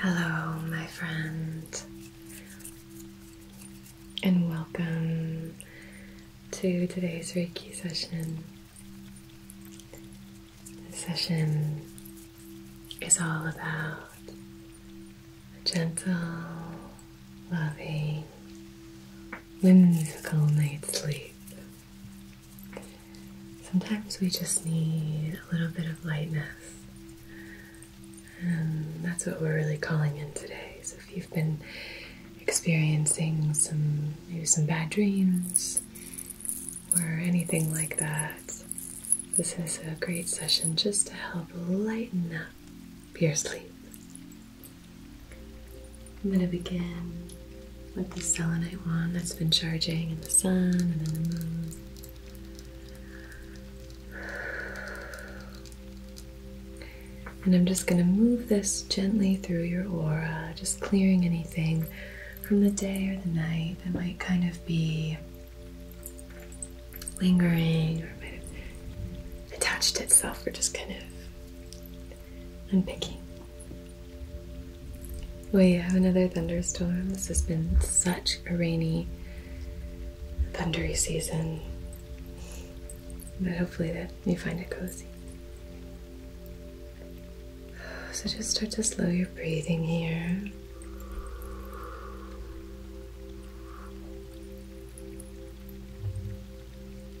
Hello, my friend, and welcome to today's Reiki session. This session is all about a gentle, loving, whimsical night's sleep. Sometimes we just need a little bit of lightness, and that's what we're really calling in today. So, if you've been experiencing some maybe some bad dreams or anything like that, this is a great session just to help lighten up your sleep. I'm going to begin with the selenite wand that's been charging in the sun and in the moon. And I'm just going to move this gently through your aura, just clearing anything from the day or the night that might kind of be lingering or might have attached itself or just kind of unpicking. We have another thunderstorm. This has been such a rainy, thundery season. But hopefully that you find it cozy. So just start to slow your breathing here.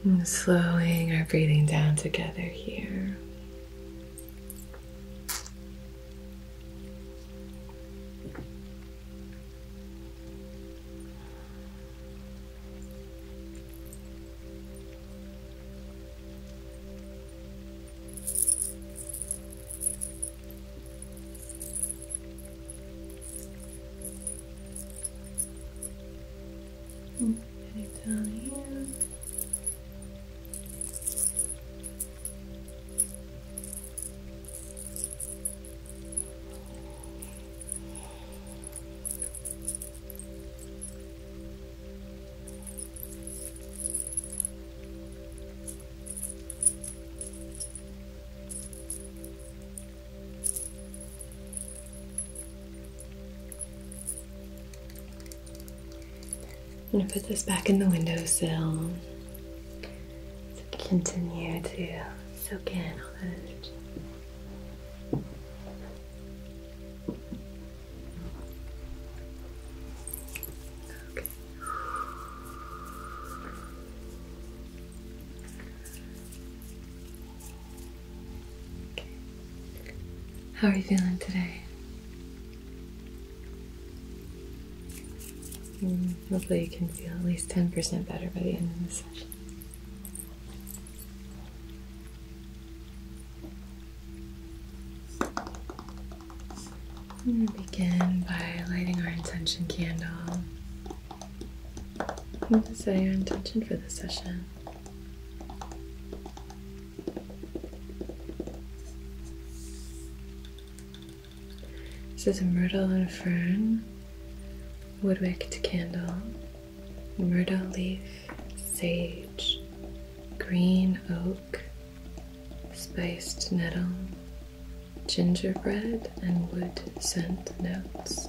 And slowing our breathing down together here. Get it down here. I'm going to put this back in the windowsill to continue to soak in all that energy. How are you feeling today? Mm, hopefully, you can feel at least 10% better by the end of the session. I'm going to begin by lighting our intention candle and setting our intention for the session. This is myrtle and fern, wood candle, myrtle leaf, sage, green oak, spiced nettle, gingerbread and wood scent notes.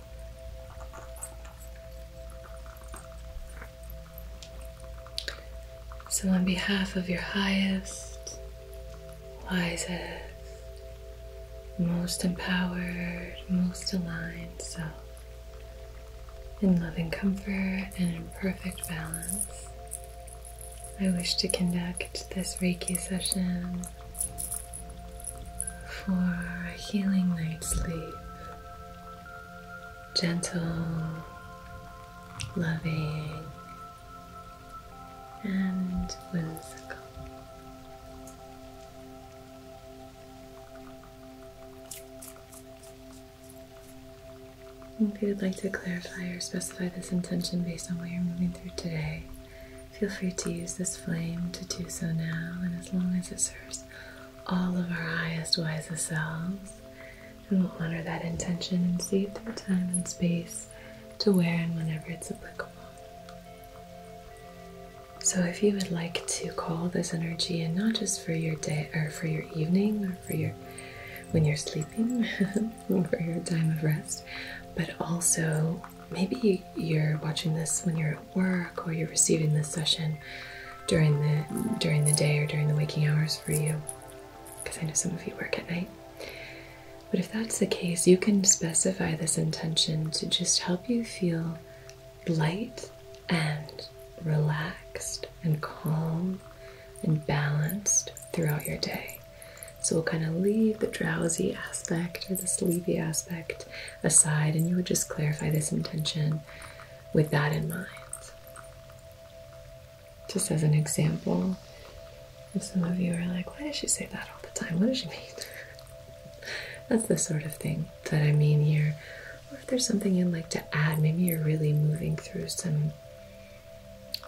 So, on behalf of your highest, wisest, most empowered, most aligned self, in loving comfort and in perfect balance, I wish to conduct this Reiki session for healing night sleep. Gentle, loving, and whimsical. If you'd like to clarify or specify this intention based on what you're moving through today, Feel free to use this flame to do so now, and as long as it serves all of our highest, wisest selves, and we'll honor that intention and see it through time and space to where and whenever it's applicable. So, if you would like to call this energy in, not just for your day or for your evening or for your when you're sleeping, or for your time of rest, but also maybe you're watching this when you're at work or you're receiving this session during the during the day or during the waking hours for you because I know some of you work at night. But if that's the case, you can specify this intention to just help you feel light and relaxed and calm and balanced throughout your day. So we'll kind of leave the drowsy aspect or the sleepy aspect aside and you would just clarify this intention with that in mind. Just as an example, if some of you are like, why does she say that all the time? What does she mean? That's the sort of thing that I mean here. Or if there's something you'd like to add, maybe you're really moving through some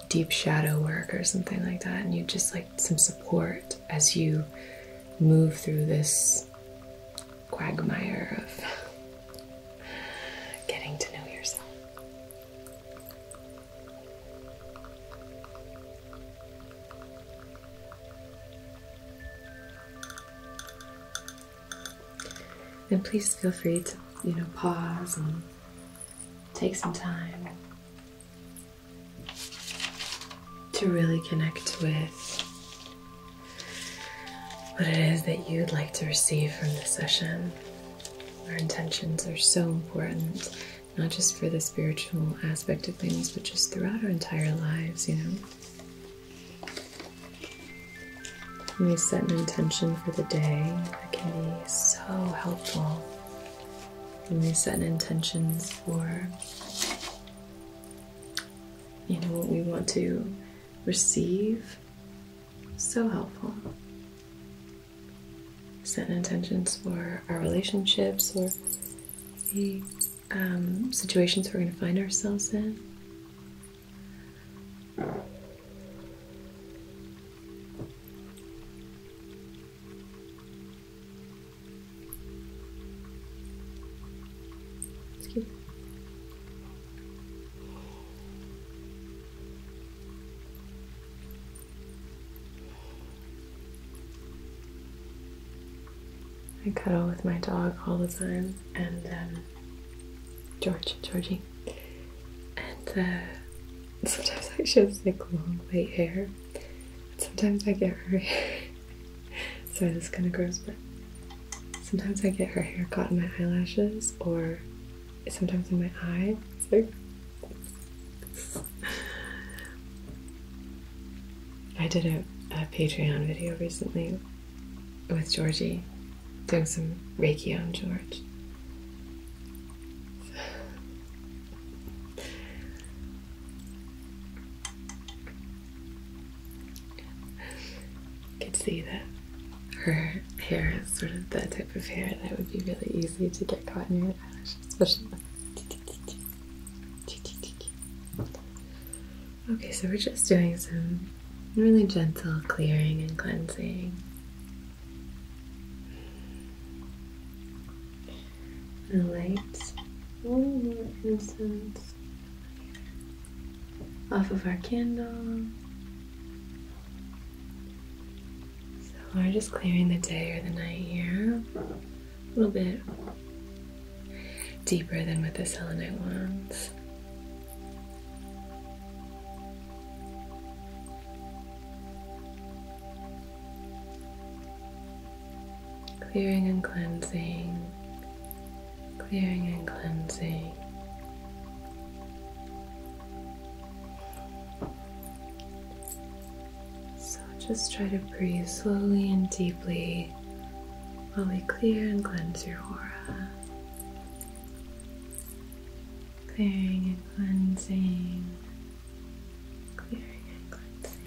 deep shadow work or something like that, and you just like some support as you move through this quagmire of getting to know yourself. And please feel free to, you know, pause and take some time to really connect with what it is that you'd like to receive from this session. Our intentions are so important, not just for the spiritual aspect of things, but just throughout our entire lives, you know. When we set an intention for the day, it can be so helpful. When we set intentions for you know, what we want to receive. So helpful. Set intentions for our relationships or the um, situations we're going to find ourselves in. It's cute. I cuddle with my dog all the time, and um, George, Georgie, and uh, sometimes I she like long white hair. Sometimes I get her Sorry, this kind of gross, but sometimes I get her hair caught in my eyelashes or sometimes in my eye. I did a Patreon video recently with Georgie doing some Reiki on George. You could see that her hair is sort of the type of hair that would be really easy to get caught in your eyelash, Okay, so we're just doing some really gentle clearing and cleansing the lights, a little more incense off of our candle. So we're just clearing the day or the night here a little bit deeper than with the selenite wands. Clearing and cleansing, clearing and cleansing. So just try to breathe slowly and deeply while we clear and cleanse your aura. Clearing and cleansing. Clearing and cleansing.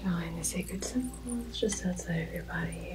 Drawing the sacred symbols just outside of your body here.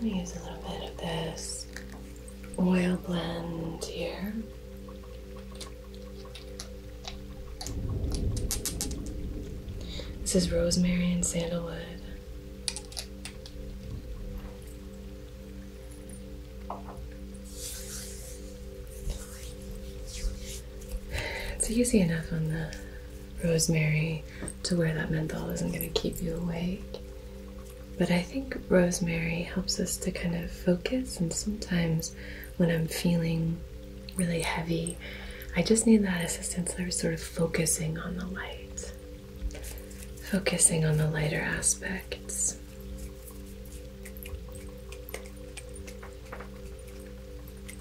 I'm going to use a little bit of this oil blend here. This is rosemary and sandalwood. It's easy enough on the rosemary to where that menthol isn't going to keep you awake. But I think rosemary helps us to kind of focus, and sometimes when I'm feeling really heavy, I just need that assistance. I was sort of focusing on the light, focusing on the lighter aspects.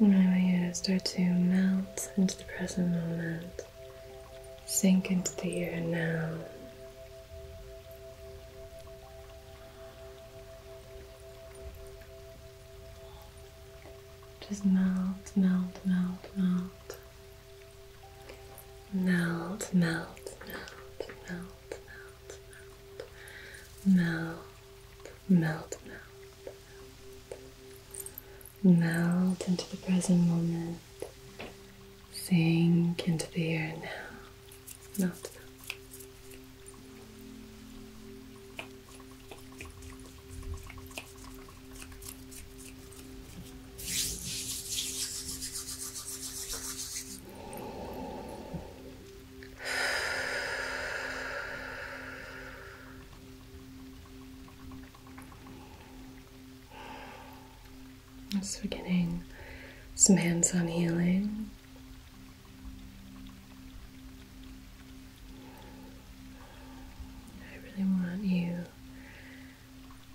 I want you to start to melt into the present moment. Sink into the here and now. Just melt, melt, melt, melt. Melt, melt, melt, melt, melt, melt. Melt, melt, melt. Melt into the present moment. Sink into the air now. Not so we're getting some hands-on healing. I really want you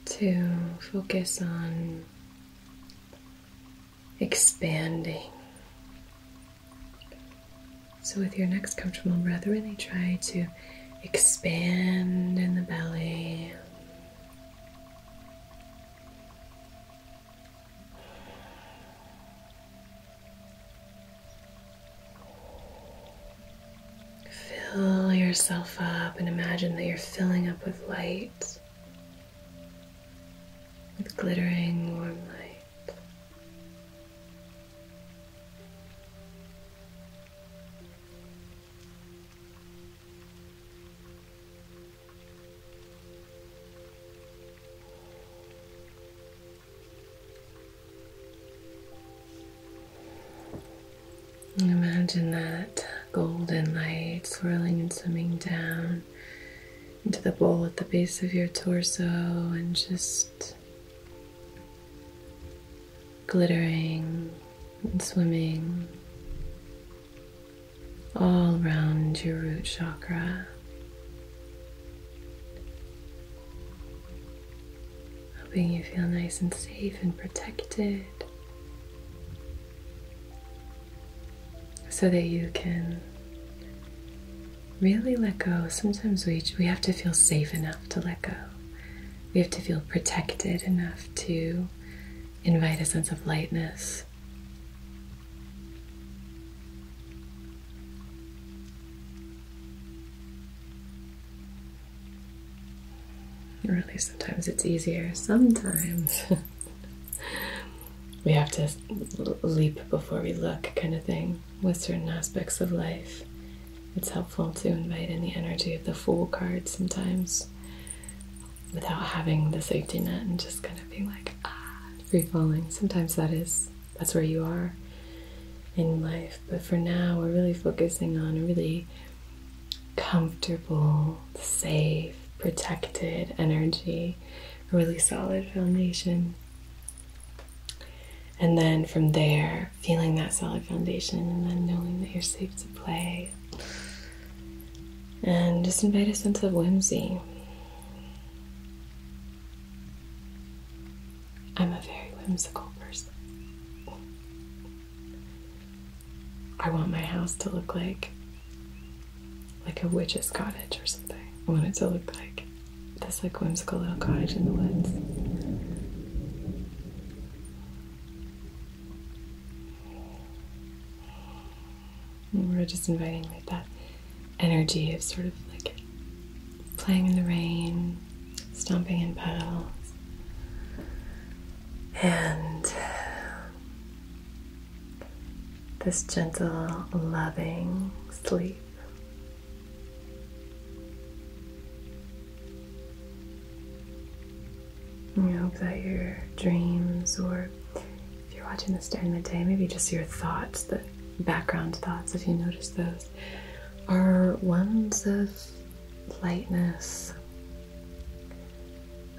to focus on expanding. So, with your next comfortable breath, really try to expand in the belly, Fill yourself up and imagine that you're filling up with light, with glittering warm light. Imagine that golden light swirling and swimming down into the bowl at the base of your torso and just glittering and swimming all around your root chakra. Helping you feel nice and safe and protected so that you can really let go. Sometimes we, we have to feel safe enough to let go. We have to feel protected enough to invite a sense of lightness. Really, sometimes it's easier. Sometimes we have to leap before we look, kind of thing, with certain aspects of life. It's helpful to invite in the energy of the Fool card sometimes without having the safety net and just kind of being like, ah, free falling. Sometimes that is, that's where you are in life. But for now, we're really focusing on a really comfortable, safe, protected energy, a really solid foundation. And then from there, feeling that solid foundation, and then knowing that you're safe to play. And just invite a sense of whimsy. I'm a very whimsical person. I want my house to look like like a witch's cottage or something. I want it to look like this like whimsical little cottage in the woods we're just inviting that energy of sort of like playing in the rain, stomping in puddles, and this gentle, loving sleep. And I hope that your dreams, or if you're watching this during the day, maybe just your thoughts, the background thoughts, if you notice those, are ones of lightness,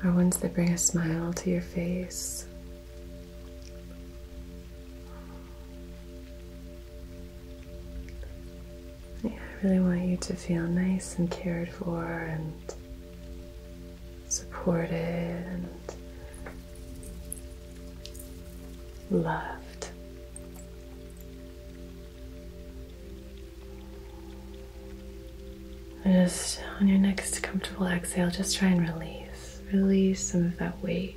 are ones that bring a smile to your face. I really want you to feel nice and cared for and supported and loved. And just on your next comfortable exhale, just try and release. Release some of that weight.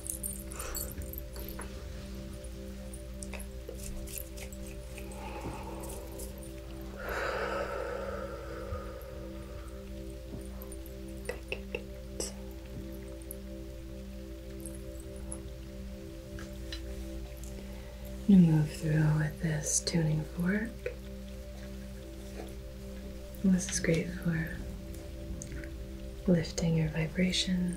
Good, good, good. You move through with this tuning fork. This is great for lifting your vibration.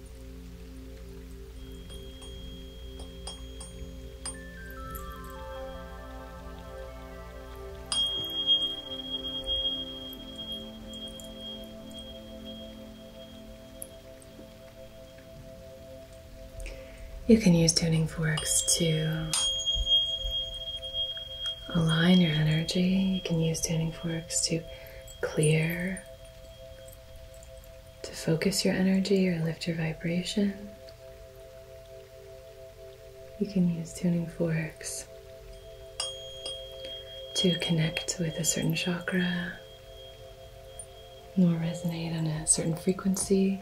You can use tuning forks to align your energy. You can use tuning forks to clear to focus your energy or lift your vibration, you can use tuning forks to connect with a certain chakra or resonate on a certain frequency.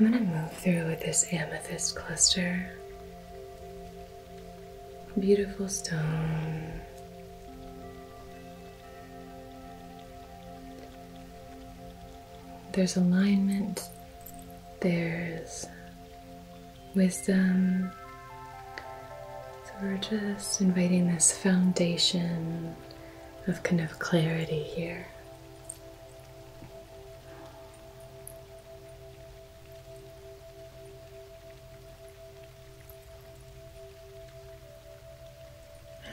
I'm going to move through with this amethyst cluster. Beautiful stone. There's alignment, there's wisdom. So we're just inviting this foundation of kind of clarity here.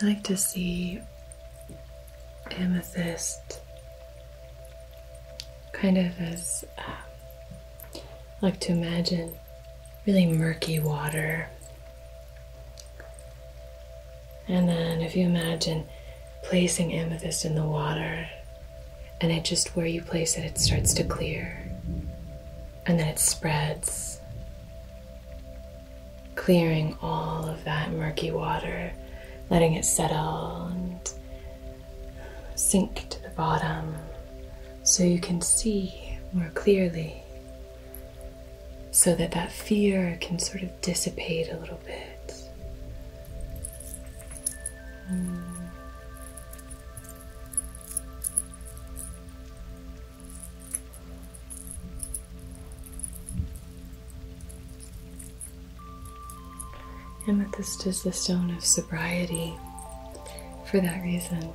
I like to see amethyst kind of as um, I like to imagine really murky water. And then, if you imagine placing amethyst in the water, and it just where you place it, it starts to clear. And then it spreads, clearing all of that murky water, letting it settle sink to the bottom so you can see more clearly, so that that fear can sort of dissipate a little bit and that this is the stone of sobriety for that reason.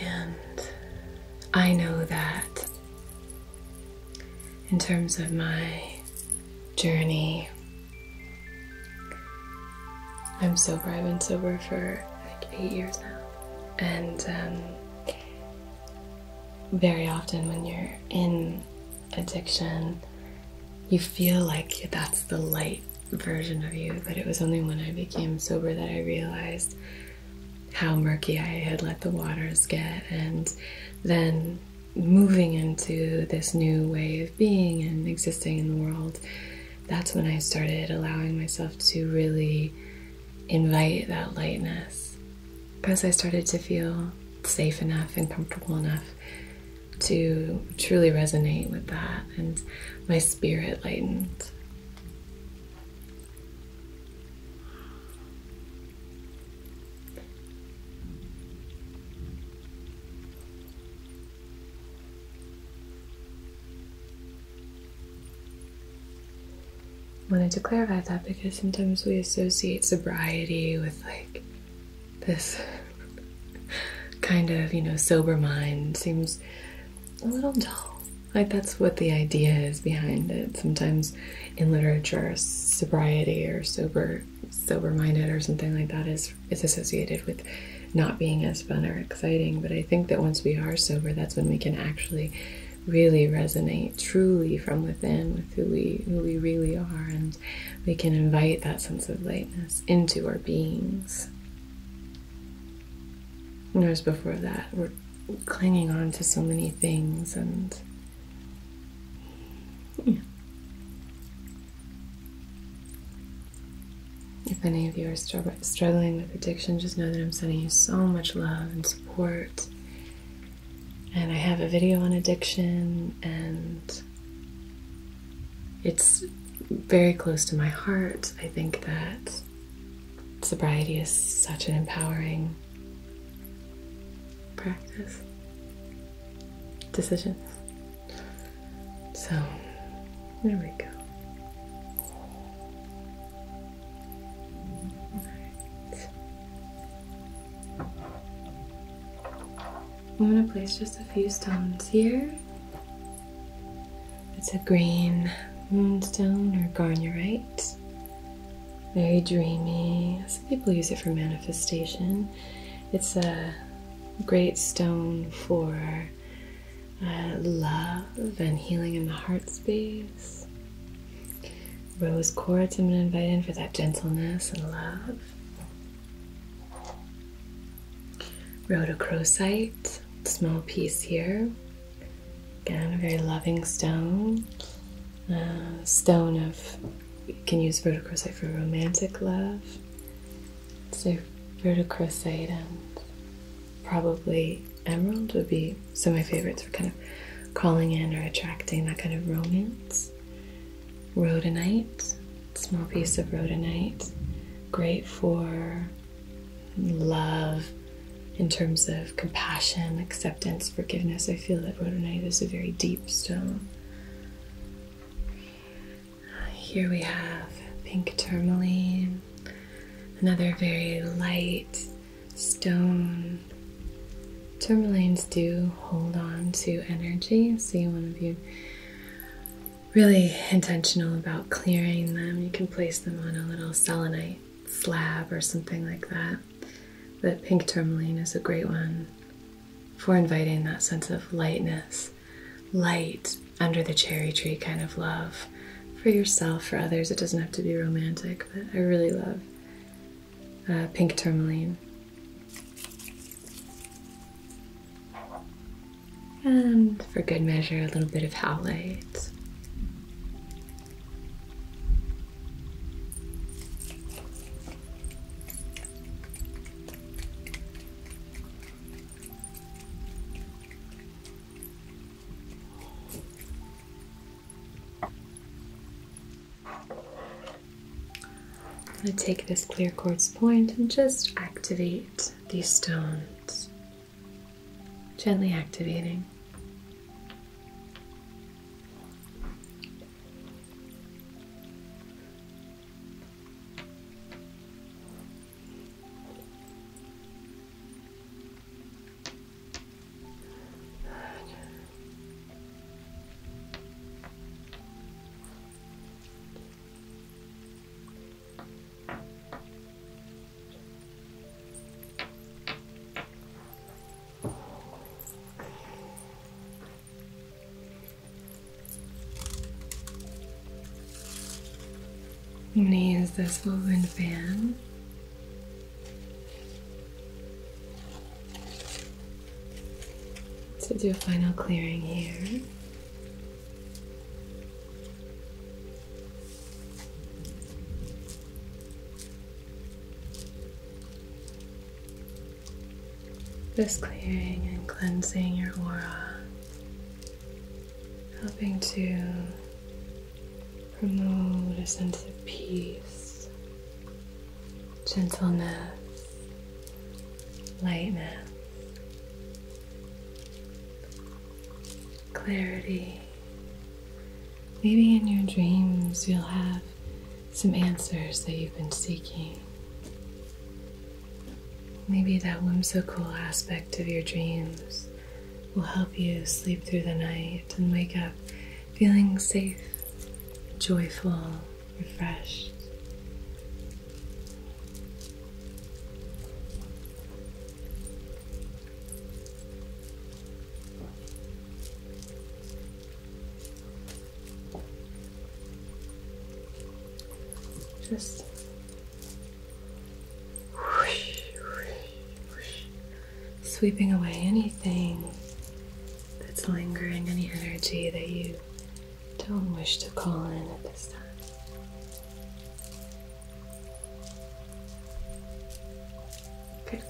And I know that in terms of my journey, I'm sober. I've been sober for like eight years now. And um, very often, when you're in addiction, you feel like that's the light version of you. But it was only when I became sober that I realized how murky I had let the waters get, and then moving into this new way of being and existing in the world, that's when I started allowing myself to really invite that lightness because I started to feel safe enough and comfortable enough to truly resonate with that and my spirit lightened. wanted to clarify that because sometimes we associate sobriety with like this kind of, you know, sober mind seems a little dull. Like that's what the idea is behind it. Sometimes in literature, sobriety or sober sober-minded or something like that is is associated with not being as fun or exciting. But I think that once we are sober, that's when we can actually really resonate truly from within with who we who we really are and we can invite that sense of lightness into our beings. Whereas before that, we're clinging on to so many things and. If any of you are struggling with addiction, just know that I'm sending you so much love and support. And I have a video on addiction, and it's very close to my heart. I think that sobriety is such an empowering practice, decision. So, there we go. I'm going to place just a few stones here. It's a green moonstone or garnerite. Very dreamy. Some people use it for manifestation. It's a great stone for uh, love and healing in the heart space. Rose quartz I'm going to invite in for that gentleness and love. Rhodochrosite, small piece here. Again, a very loving stone. Uh, stone of, you can use rhodochrosite for romantic love. So rhodochrosite and probably emerald would be some of my favorites for kind of calling in or attracting that kind of romance. Rodenite, small piece of rhodonite, great for love in terms of compassion, acceptance, forgiveness. I feel that rhodonite is a very deep stone. Here we have pink tourmaline, another very light stone. Tourmalines do hold on to energy, See one of you really intentional about clearing them. You can place them on a little selenite slab or something like that. The pink tourmaline is a great one for inviting that sense of lightness, light under the cherry tree kind of love for yourself, for others. It doesn't have to be romantic, but I really love uh, pink tourmaline. And for good measure, a little bit of howlite. I'm going to take this clear quartz point and just activate these stones, gently activating. I'm going to use this woven fan so do a final clearing here. Just clearing and cleansing your aura, helping to promote a sense of peace gentleness, lightness, clarity. Maybe in your dreams you'll have some answers that you've been seeking. Maybe that whimsical aspect of your dreams will help you sleep through the night and wake up feeling safe, joyful, refreshed. Just sweeping away anything that's lingering, any energy that you don't wish to call in at this time. Good,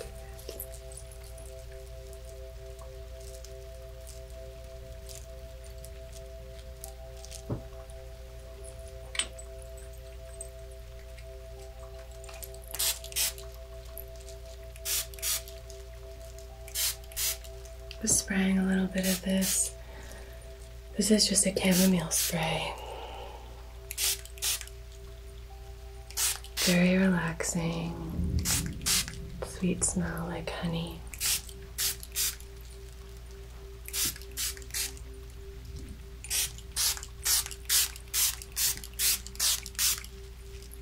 spraying a little bit of this. This is just a chamomile spray. Very relaxing. Sweet smell like honey.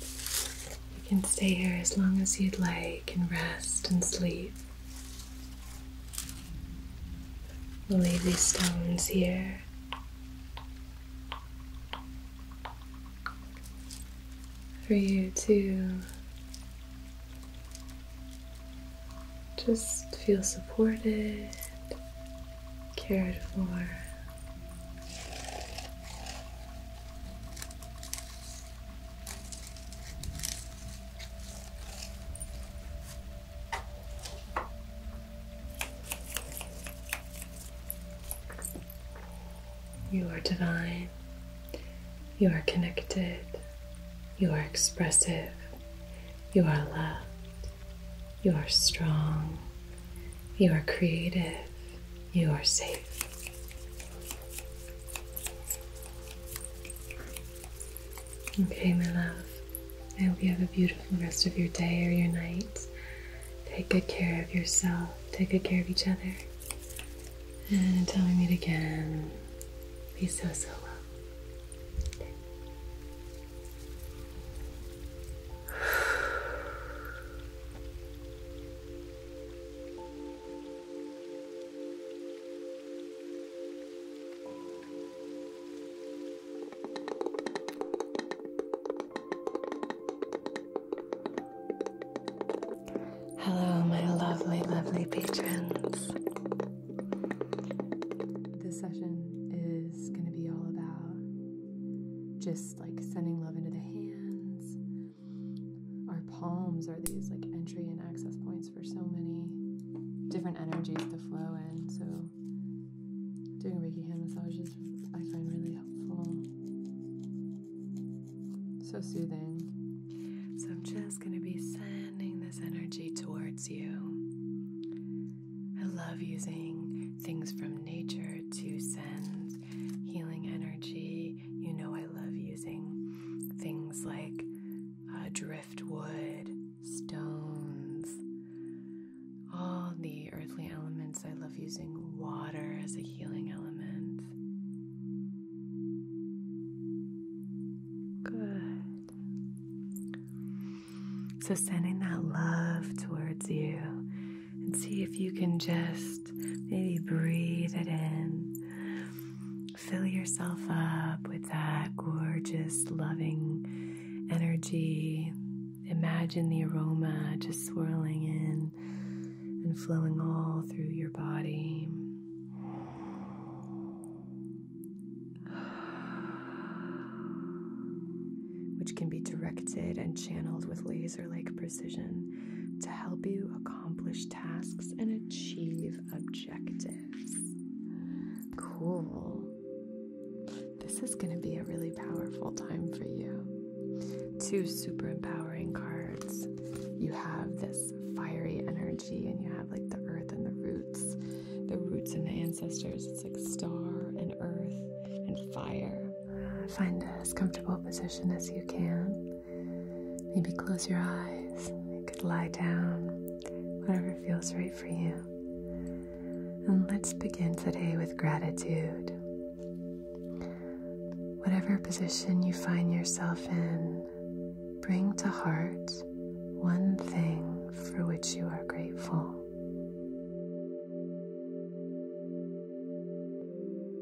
you can stay here as long as you'd like and rest and sleep. We'll leave these stones here. For you to just feel supported, cared for. You are divine. You are connected. You are expressive. You are loved. You are strong. You are creative. You are safe. Okay, my love. I hope you have a beautiful rest of your day or your night. Take good care of yourself. Take good care of each other. And until we meet again, be so, so well. Hello, my lovely, lovely patrons. This session is going to be all about just like sending love into the hands, our palms are these like entry and access points for so many different energies to flow in. So doing Reiki hand massages I find really helpful. So soothing. So I'm just going to be sending this energy towards you. I love using things from nature to send healing energy you know I love using things like uh, driftwood, stones, all the earthly elements. I love using water as a healing element. Good. So, sending that love towards you and see if you can just maybe breathe it in. Fill yourself up with that gorgeous, loving energy. Imagine the aroma just swirling in and flowing all through your body. which can be directed and channeled with laser like precision precision to help you accomplish tasks and achieve objectives. Cool. This is going to be a really powerful time for you. Two super empowering cards. You have this fiery energy, and you have like the earth and the roots, the roots and the ancestors. It's like star and earth and fire. Find as comfortable position as you can. Maybe close your eyes. You could lie down, whatever feels right for you. And let's begin today with gratitude. Whatever position you find yourself in, bring to heart one thing for which you are grateful.